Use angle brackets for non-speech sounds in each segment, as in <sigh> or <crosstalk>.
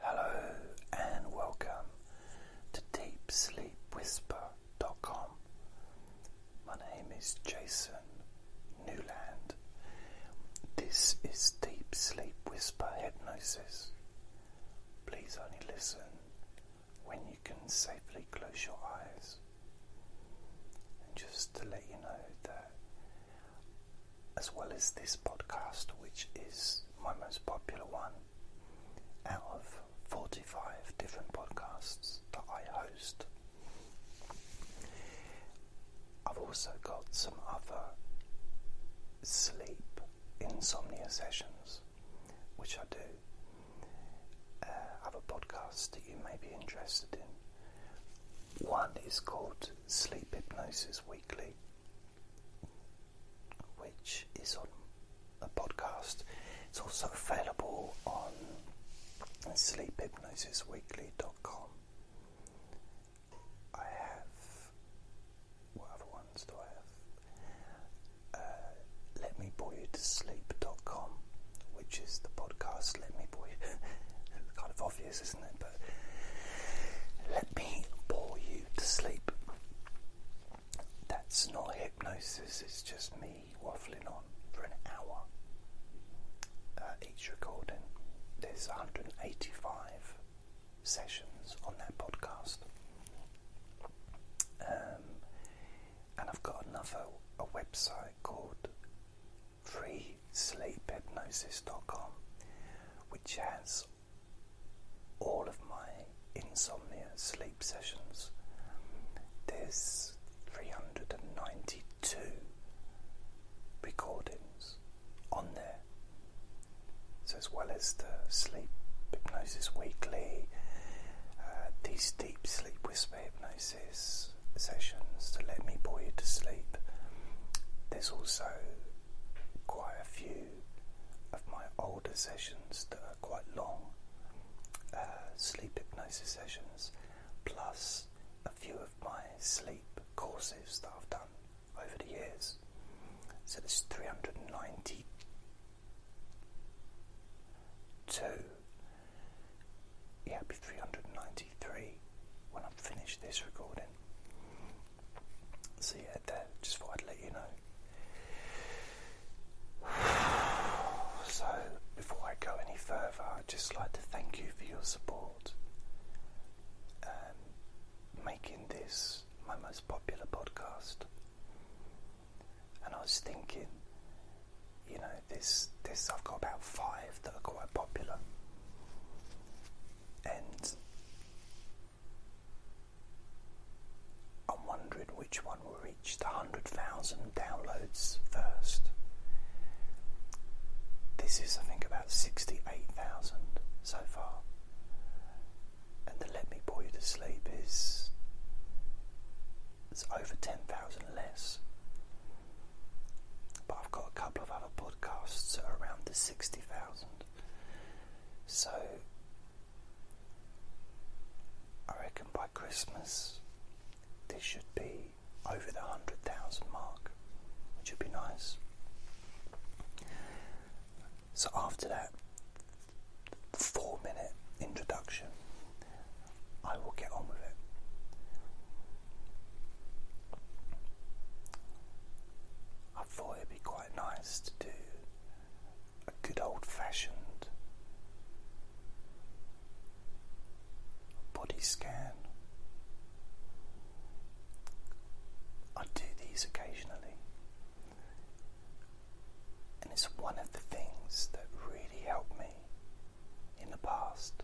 Hello and welcome to DeepSleepWhisper.com. My name is Jason Newland. This is Deep Sleep Whisper Hypnosis. Please only listen when you can safely close your eyes. And just to let you know that as well as this podcast, which is my most popular one out of 45 different podcasts that I host. I've also got some other sleep insomnia sessions, which I do. Uh, have a podcast that you may be interested in. One is called Sleep Hypnosis Weekly, which is on a podcast. It's also available on sleephypnosisweekly.com. I have. What ones do I have? Uh, Let Me Bore You to Sleep.com, which is the podcast Let Me Bore You. <laughs> kind of obvious, isn't it? but let me bore you to sleep. That's not hypnosis, it's just me waffling on for an hour uh, each recording. There's 185 sessions on that podcast. Um, and I've got another a website called freesleephypnosis.com which has all of my insomnia sleep sessions. There's 392 recordings on there. as well as the Sleep Hypnosis Weekly, uh, these Deep Sleep Whisper Hypnosis sessions to let me bore you to sleep, there's also quite a few of my older sessions that are quite long uh, sleep hypnosis sessions, plus a few of my sleep courses that I've done over the years. So there's 392. Yeah, it'll be 393 when i finish this recording. So yeah, that, just for I'd let you know. <sighs> So before I go any further, I'd just like to thank you for your support. Um, making this my most popular podcast. And I was thinking, you know, this this I've got about five that are quite popular. And I am wondering which one will reach the 100,000 downloads first. This is, I think, about 68,000 so far. And the Let Me Bore You to Sleep is it's over 10,000 less. But I've got a couple of other podcasts that are around the 60,000. So I reckon by Christmas this should be over the 100,000 mark, which would be nice. So after that four minute introduction, I will get on with it. I thought it'd be quite nice to do a good old fashioned body scan. I do these occasionally, and it's one of the things that really helped me in the past,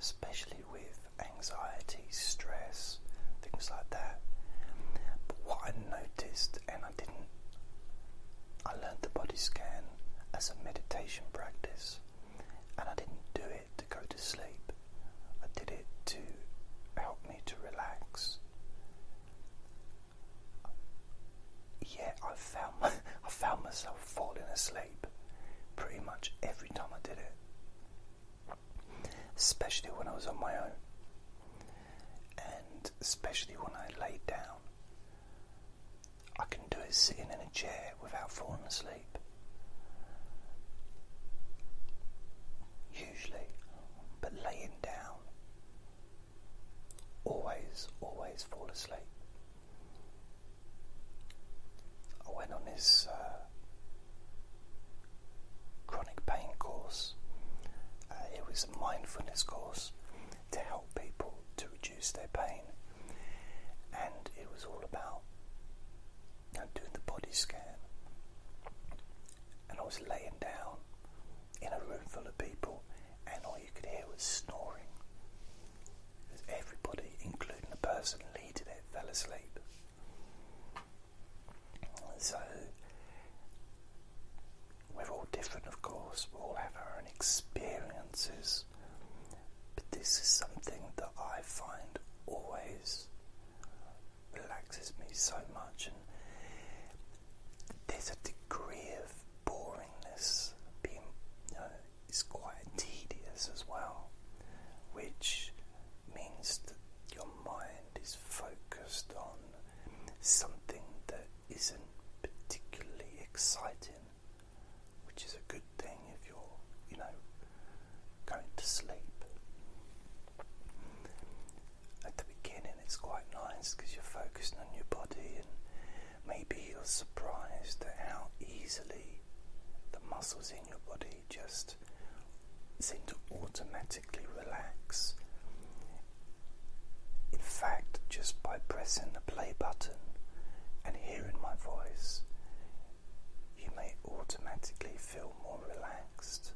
especially with anxiety stress, things like that. But what I noticed, and I didn't, I learned the body scan as a meditation practice, and I didn't do it to go to sleep, I did it to help me to relax. Yeah, I found <laughs> I found myself falling asleep pretty much every time I did it especially when I was on my own, and especially when I laid down. I can do it sitting in a chair without falling asleep. Usually, but laying down, always, always fall asleep. I went on this uh, chronic pain course. Uh, it was a mindfulness course to help people to reduce their pain, and it was all about doing the body scan. And I was laying down in a room full of people, and all you could hear was snoring. because Everybody, including the person leading it, fell asleep. So, we're all different, of course, we all have our own experiences, but this is something that I find always relaxes me so much, and there's a degree of boringness being, it's quite tedious as well, which means that your mind mind is focused on something that isn't particularly exciting, which is a good thing if you're, you know, going to sleep. At the beginning, it's quite nice because you're focusing on your body, and maybe you're surprised at how easily the muscles in your body just seem to automatically relax. In fact, just by pressing the play button and hearing my voice, you may automatically feel more relaxed,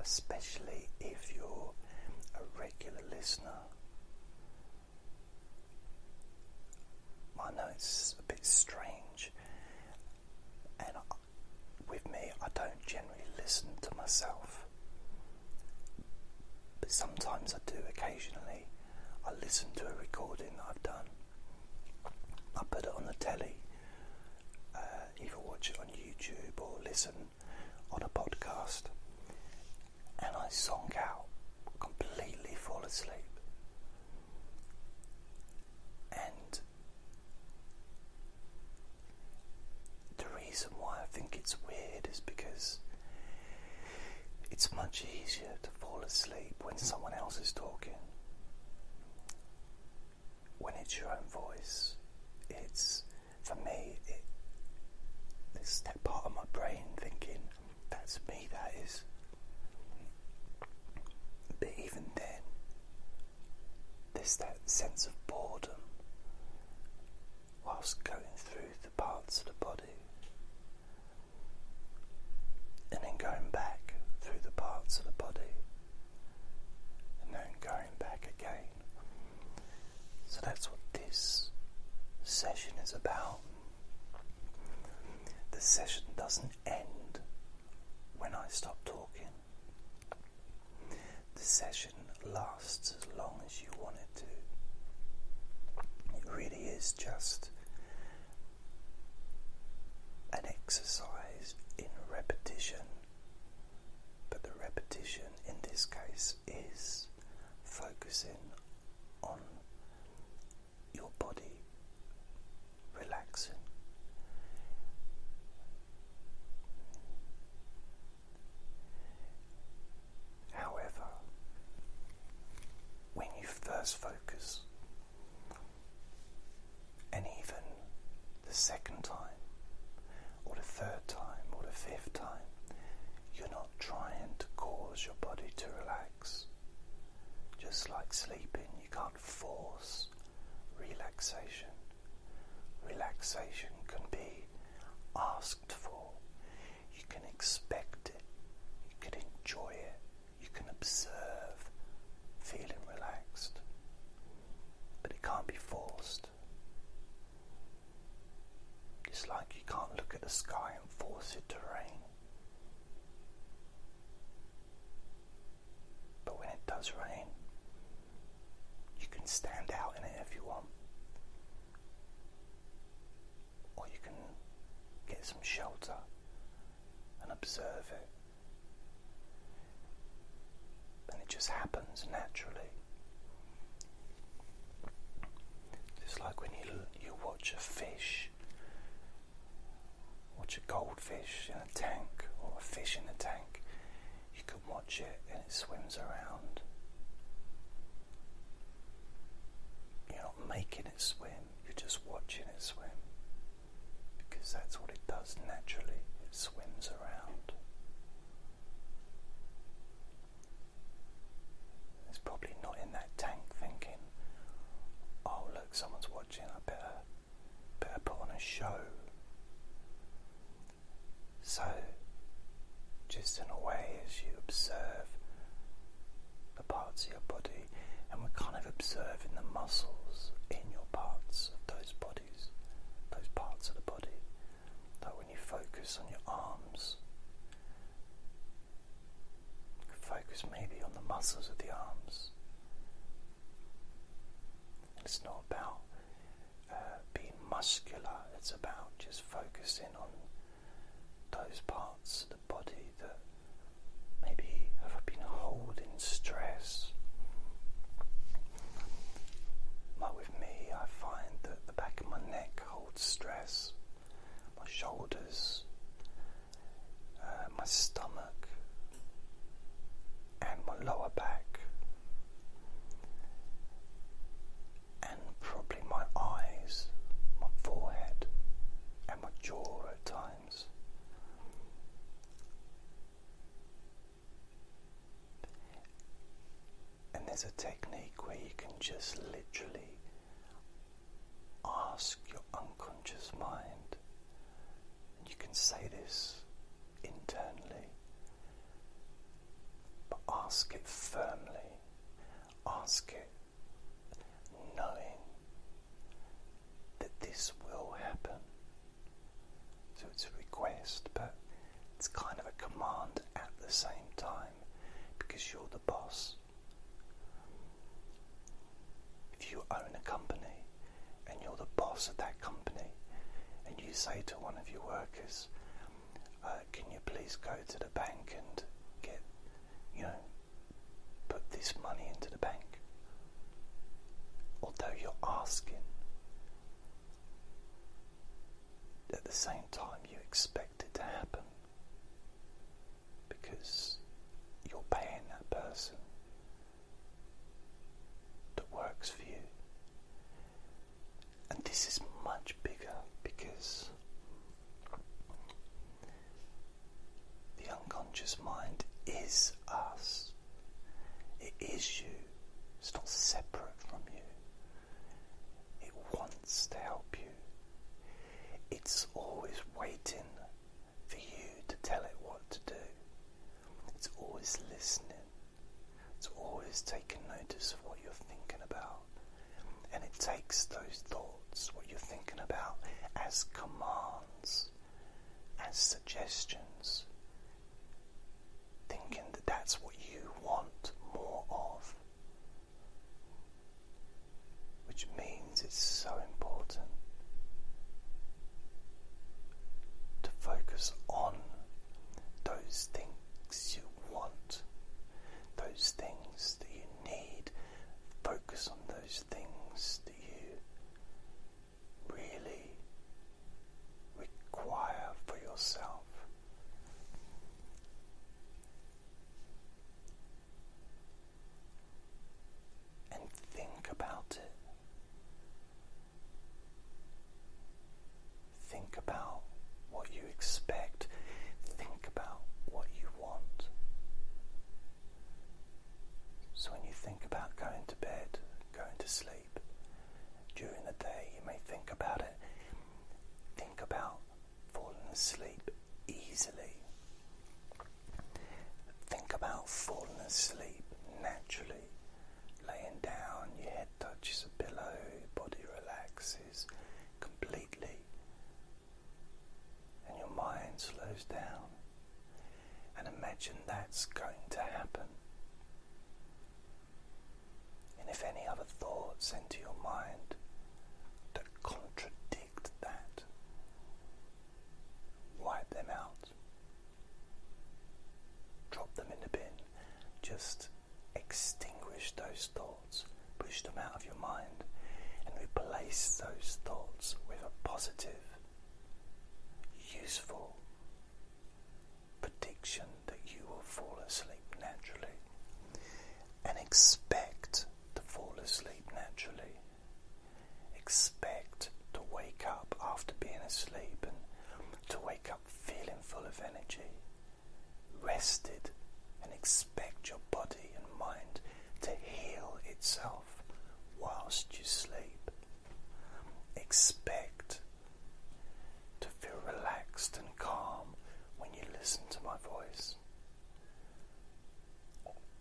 especially if you're a regular listener. I know it's a bit strange, with me, I don't generally listen to myself, but sometimes I do occasionally. I listen to a recording that I've done, I put it on the telly, uh, either watch it on YouTube or listen on a podcast, and I song out, completely fall asleep. And the reason why I think it's weird is because it's much easier to fall asleep when someone else is talking. When it's your own voice, it's for me, It's that part of my brain thinking, that's me, that is. But even then, this that sense of boredom whilst going through the parts of the body and then going back through the parts of the body and then going back again. So that's what this session is about. The session doesn't end when I stop talking. The session lasts as long as you want it to. It really is just an exercise in repetition, but the repetition in this case is focusing on your body relaxing. However, when you first focus, and even the second time, or the third time, or the fifth time, you're not trying to cause your body to relax. Just like sleeping, you can't force relaxation. Relaxation can be asked for, you can expect it, you can enjoy it, you can observe feeling relaxed, but it can't be forced. It's like you can't look at the sky and force it to rain. But when it does rain, you can stand out in it if you want, or you can get some shelter and observe it. And it just happens naturally. It's like when you you watch a fish, watch a goldfish in a tank or a fish in a tank you can watch it and it swims around. You're not making it swim, you're just watching it swim. Because that's what it does naturally, it swims around. It's probably not in that tank thinking, oh look, someone's watching, I better, better put on a show. So, just in a way, as you observe the parts of your body, and we're kind of observing the muscles in your parts of those bodies, those parts of the body. That when you focus on your arms, focus maybe on the muscles of the arms. It's not about being muscular, it's about just focusing on those parts of the body that maybe have been holding stress. Like with me, I find that the back of my neck holds stress, my shoulders, uh, my stomach, and my lower back and probably my eyes, my forehead, and my jaw at times. And there's a technique where you can just literally ask your unconscious mind, and you can say this internally but ask it firmly, ask it knowing that this will happen. So it's a request, but it's kind of a command at the same time because you're the boss. If you own a company and you're the boss of that company, and you say to one of your workers, uh, can you please go to the bank and get, you know, put this money into the bank? Although you're asking, at the same time, you expect it to happen because you're paying that person that works for you and this is much bigger because the unconscious mind is us. It is you. It's not separate from you. It wants to help you. It's always waiting for you to tell it what to do. It's always listening. It's always taking notice of what you're thinking about. And it takes those thoughts, what you're thinking about, as commands, as suggestions, thinking that that's what you want more of. Which means it's so important to focus on those things you want, those things that you need. Focus on those things that you really require for yourself. And think about it. Think about what you expect. Think about what you want. So, when you think about going to bed, going to sleep, during the day, you may think about it. Think about falling asleep easily. Think about falling asleep naturally laying down, your head touches a pillow, your body relaxes completely, and your mind slows down. And imagine that's going to happen. And if any other thoughts enter your mind that contradict that, wipe them out. Drop them in the bin. Just extinguish those thoughts, push them out of your mind, and replace those thoughts with a positive, useful prediction that you will fall asleep naturally. And expect to fall asleep naturally. Expect to wake up after being asleep and to wake up feeling full of energy rested, and expect your body and mind to heal itself whilst you sleep. Expect to feel relaxed and calm when you listen to my voice.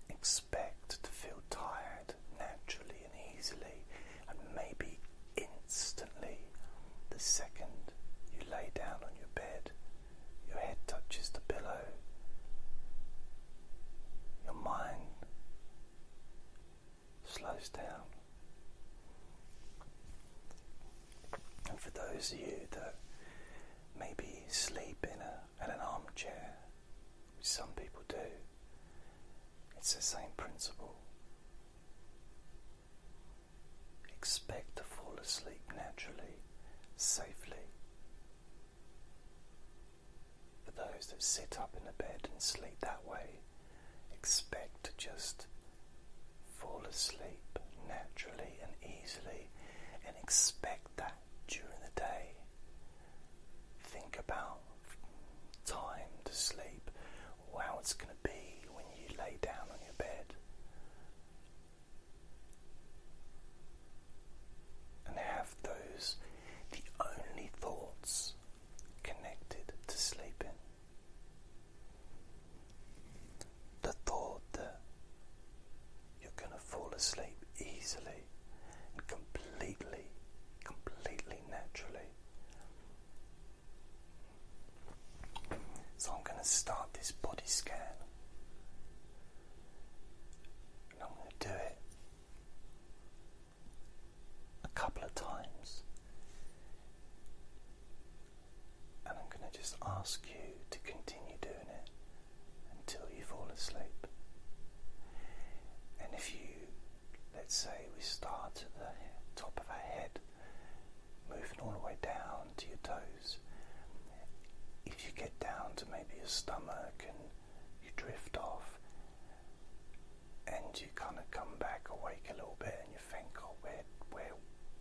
Expect to feel tired naturally and easily, and maybe instantly, the second you lay down on your bed, your head touches the pillow, your mind slows down. And for those of you that maybe sleep in a, at an armchair, which some people do, it's the same principle. Expect to fall asleep naturally, safely. But those that sit up in the bed and sleep that way, expect to just fall asleep naturally and easily and expect that during the day. Think about time to sleep how it's going to be when you lay down on your bed. And have those the only thoughts connected to sleeping. The thought that you're going to fall asleep easily and completely, completely naturally, so I'm going to start this body scan. And I'm going to do it a couple of times. And I'm going to just ask you to continue doing it until you fall asleep. And if you, let's say, we start at the top of our head moving all the way down to your toes. If you get down to maybe your stomach and you drift off and you kind of come back awake a little bit and you think, oh, where, where,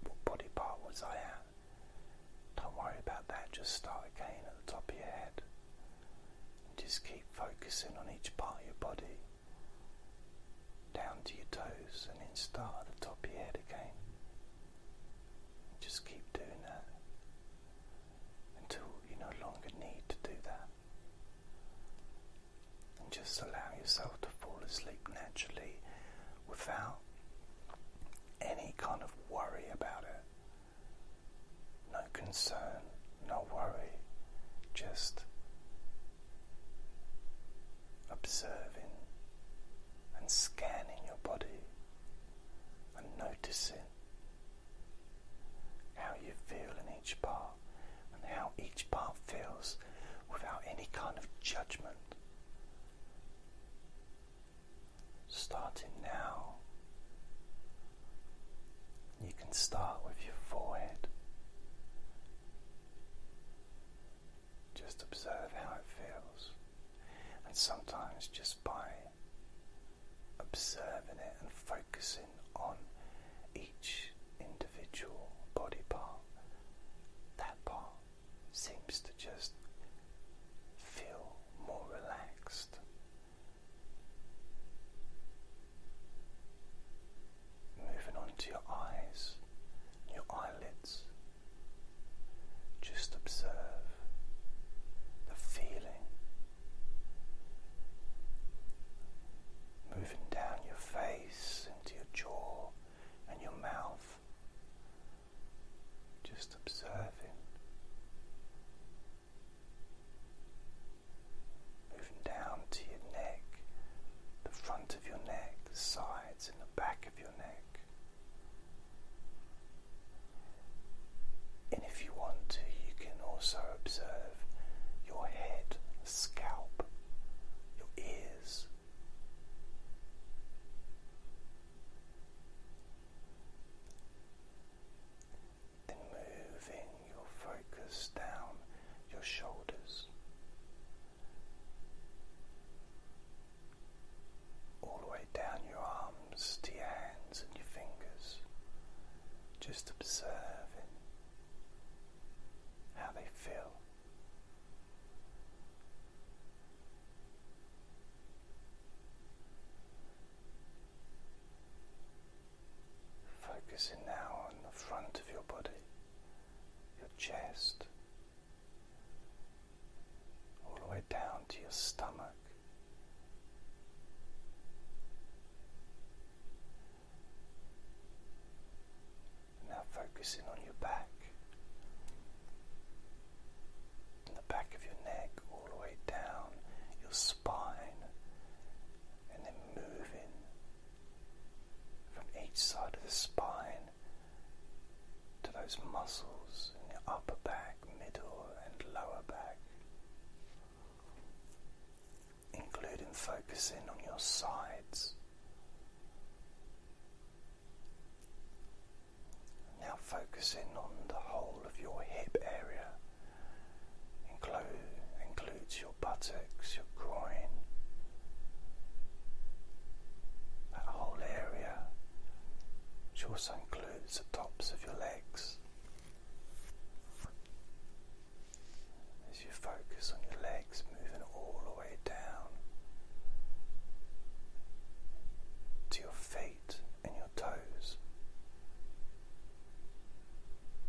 what body part was I at? Don't worry about that, just start again at the top of your head. And just keep focusing on each part of your body down to your toes and then start at the top of your head again. Just keep doing that until you no longer need to do that. And just allow yourself to fall asleep naturally without any kind of worry about it. No concern, no worry, just observing and scanning your body and noticing how you feel in each part and how each part feels without any kind of judgment. Starting now, you can start with your forehead. Just observe how it feels. And sometimes just by observing it and focusing on each individual body part, that part seems to just feel more relaxed. Moving on to your eyes, your eyelids. Just observe the feeling. Moving down your face into your jaw and your mouth. Just observing. Moving down to your neck, the front of your neck, the sides, and the back of your neck. And if you want to, you can also observe your head, scalp, your ears. Then moving your focus down your shoulders, all the way down your arms to your hands and your fingers, just observing how they feel. Focusing now on the front of your body, your chest, all the way down to your stomach. Now focusing on your back, the back of your neck, all the way down your spine, and then moving from each side of the spine to those muscles in your upper back, middle, and lower back, including focusing on your sides. Now, focusing on the whole of your hip area, includes your buttocks, your groin, that whole area, which also includes the tops of your legs. As you focus on your legs moving all the way down to your feet and your toes,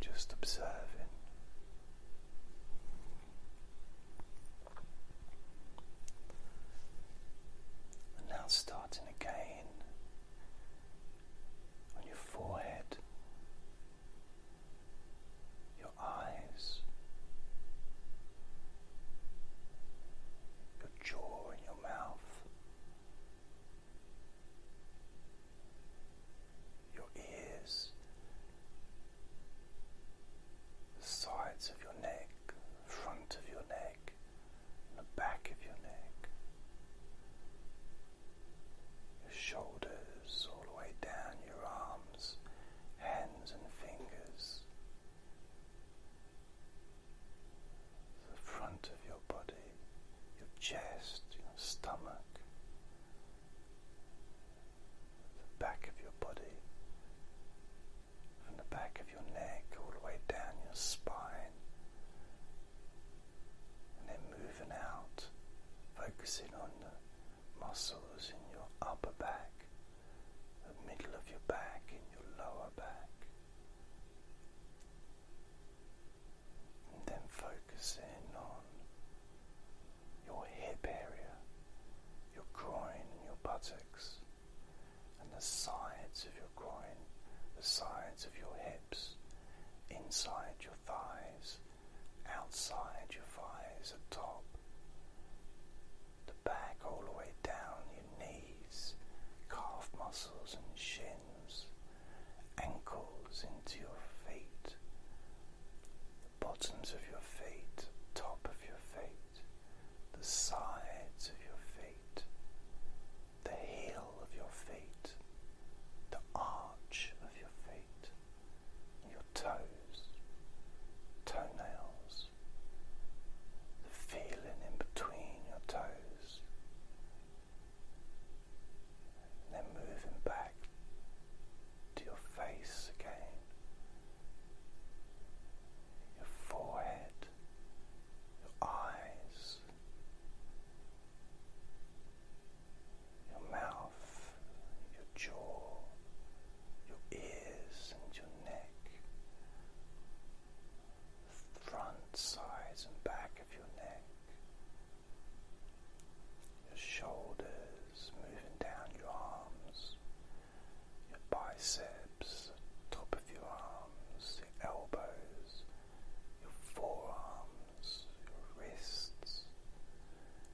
just observing and now starting again on your forehead, your eyes, your jaw, and your mouth, your ears, the sides of your neck, front of your neck, the back of your neck, your shoulders, all the way down your arms, hands and fingers, the front of your body, your chest, your stomach, the back of your body, from the back of your neck all the way down your spine, and then moving out, focusing on the muscles in your upper back, the middle of your back, and your lower back. And then focusing on your hip area, your groin your buttocks, and the sides of your groin, the sides of your hips, inside your thighs, outside your thighs, at top, the back all the way down, your knees, calf muscles and shins, ankles into your feet, bottoms of your feet, top of your feet the sides of your feet, the heel of your feet, the arch of your feet, your toes, toenails, the feeling in between your toes. And then moving back to your face again, your forehead, your eyes, your mouth, your jaw, your ears, and your neck. The front, sides, and back of your neck. Your shoulders moving down your arms, your biceps, the top of your arms, your elbows, your forearms, your wrists,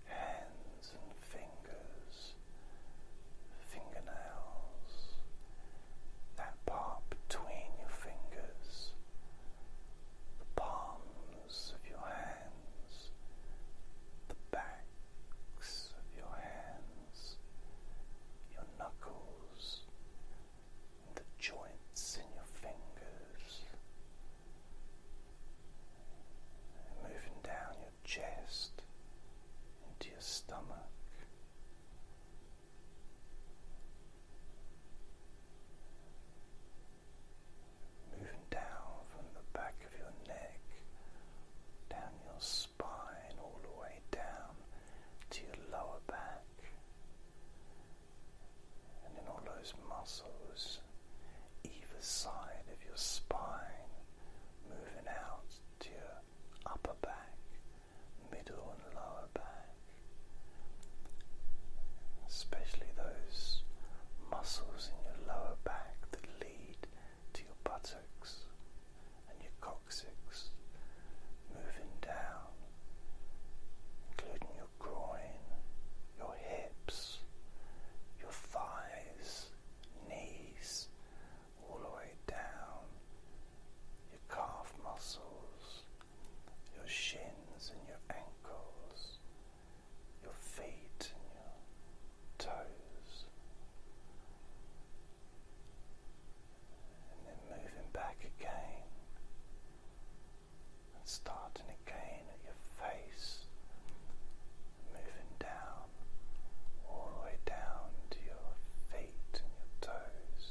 hands and fingers, fingernails, that part between your fingers, the palms of your hands, the back of your hands, your knuckles, and the joints in your fingers, moving down your chest into your stomach. Moving down from the back of your neck, down your spine, all the way down to your lower back. And then all those muscles, either side of your spine, moving out to your upper back, middle and lower back. Especially those muscles in your lower back that lead to your buttocks and your coccyx, moving down, including your groin, your hips, your thighs, knees, all the way down, your calf muscles, your shins and your ankles, your feet and your toes, and then moving back again and starting again at your face, moving down all the way down to your feet and your toes,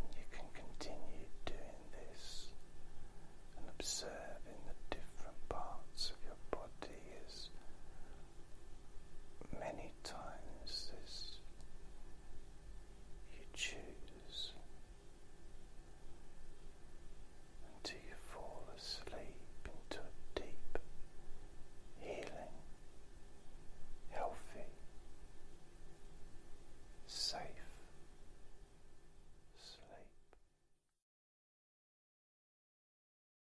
and you can continue doing this and observing the different parts of your body is many times this you choose until you fall asleep into a deep healing, healthy, safe sleep.